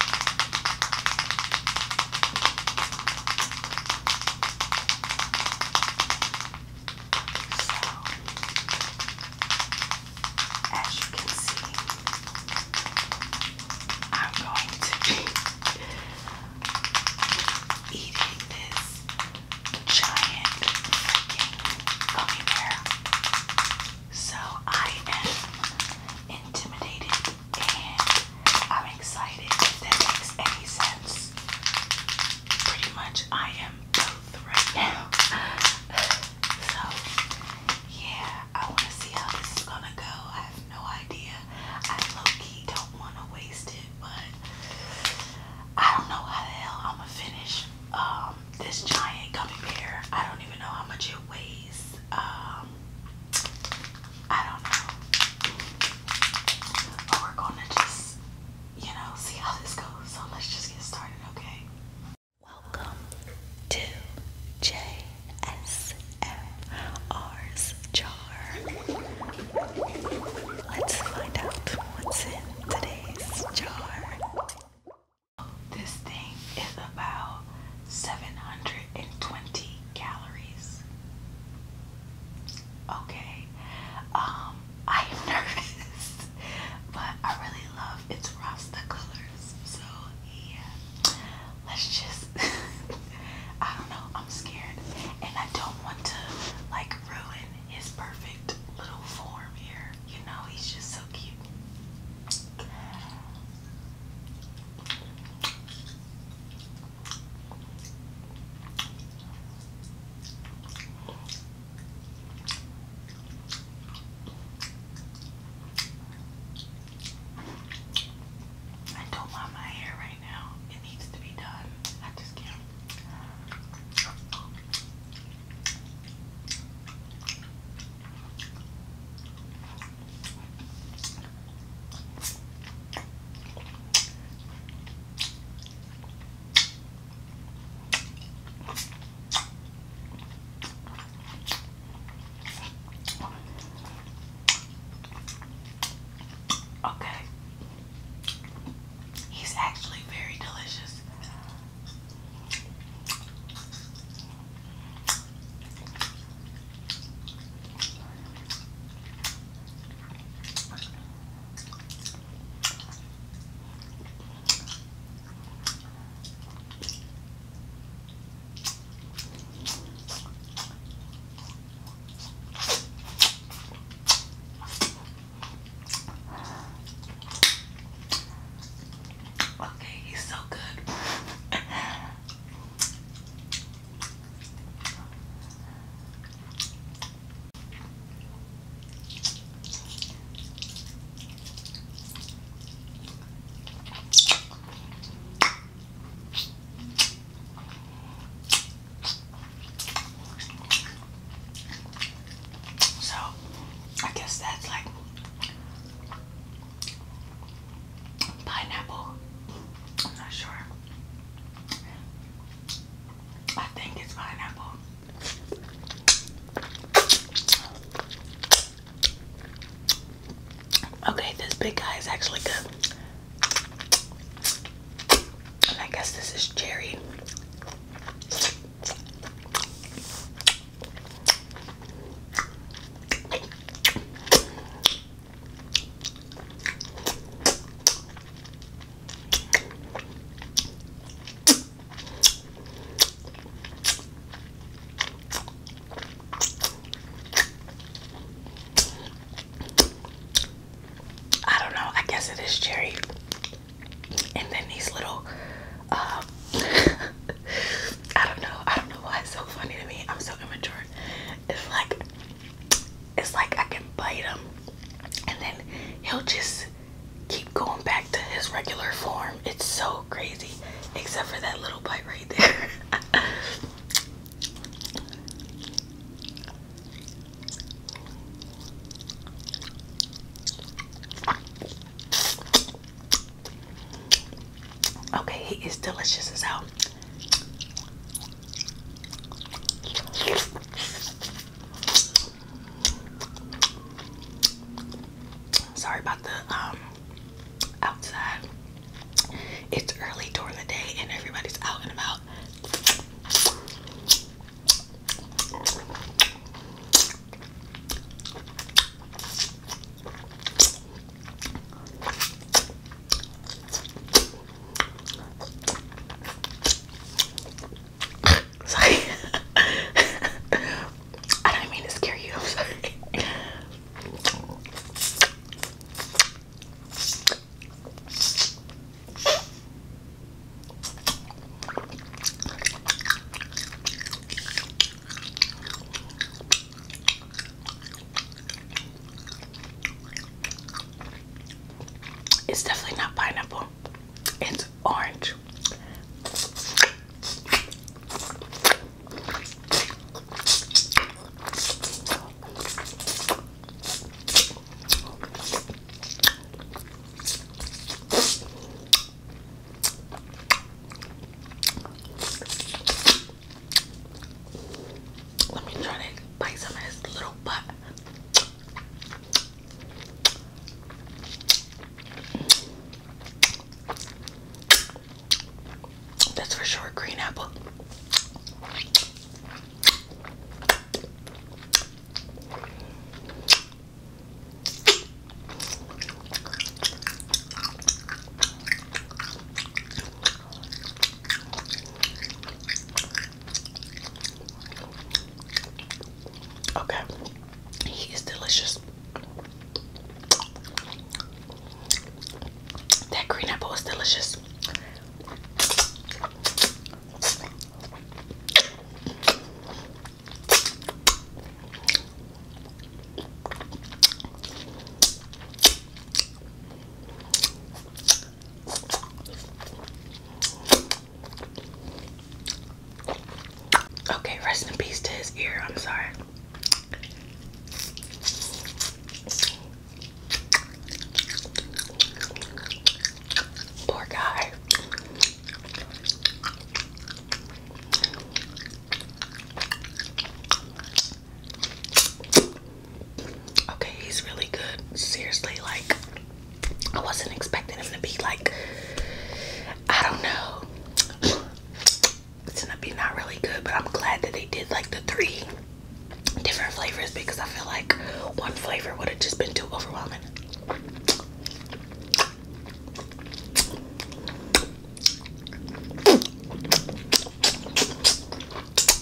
as you can see, I'm going to be eating this giant freaking gummy So I am intimidated and I'm excited if that makes any sense. Pretty much, I am both right now. so, yeah, I want to see how this is gonna go. I have no idea. I low key don't want to waste it, but I don't know how the hell I'm gonna finish um, this giant gummy bear. I don't even know how much it weighs. Um, I don't know. But we're gonna just, you know, see how this goes. So let's just get started, okay? Welcome to JSMR's Jar. Let's find out what's in today's jar. This thing is about 720 calories. Okay, I am um, nervous, but I really love its Rasta colors. So yeah, let's just, I don't know, I'm scared. And I don't want to like ruin his perfect little form here. You know, he's just so cute. I don't want my hair right now. It needs to be done. I just can't. Okay. He's actually very delicious. Okay, he's so good. So, I guess that's like Pineapple. I'm not sure. I think it's pineapple. Okay, this big guy is actually good. I guess this is cherry. I don't know, I guess it is cherry. And then these little, um, I don't know, I don't know why it's so funny to me. I'm so immature. It's like it's like I can bite him, and then he'll just keep going back to his regular form. It's so crazy, except for that little bite right there. Okay, he is delicious as hell. Sorry about the um, outside. It's early during the day and everybody's out and about sorry. I don't mean to scare you. I'm sorry. It's definitely not pineapple. It's orange. Let me try to bite some of his little butt. That's for sure green apple. Okay, he is delicious. That green apple is delicious. Okay, rest in peace to his ear. I'm sorry. Poor guy. Okay, he's really good. Seriously, like I wasn't expecting him to be like I don't know. It's gonna be not really good, but I'm glad that they did like the three different flavors because I feel like one flavor would have just been too overwhelming.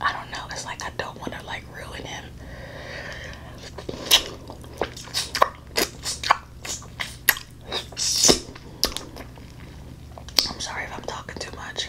I don't know. It's like I don't want to like ruin him. I'm sorry if I'm talking too much.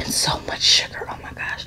And so much sugar, oh my gosh.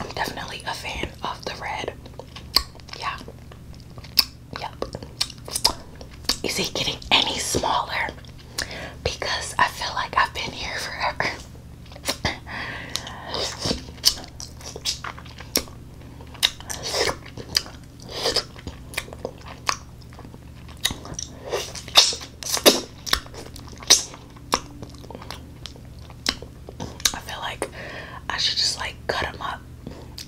I'm definitely a fan of the red. Yeah. Yep. Is he getting any smaller? Because I feel like I've been here forever. I feel like I should just like cut them up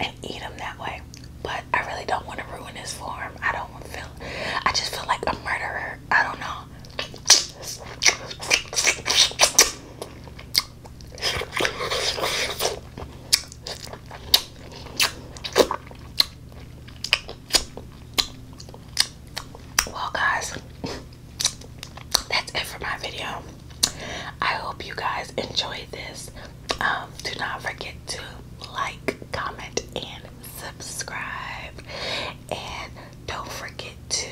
and eat them that way. But I really don't want to ruin his form. I don't want to feel. I just feel like a murderer. I don't know. Well, guys, that's it for my video. I hope you guys enjoyed this. Um, do not forget to like, comment, and subscribe. And don't forget to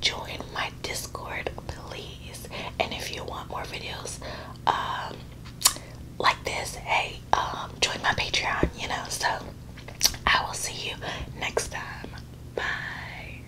join my Discord, please. And if you want more videos um, like this, hey, um, join my Patreon, you know. So I will see you next time. Bye.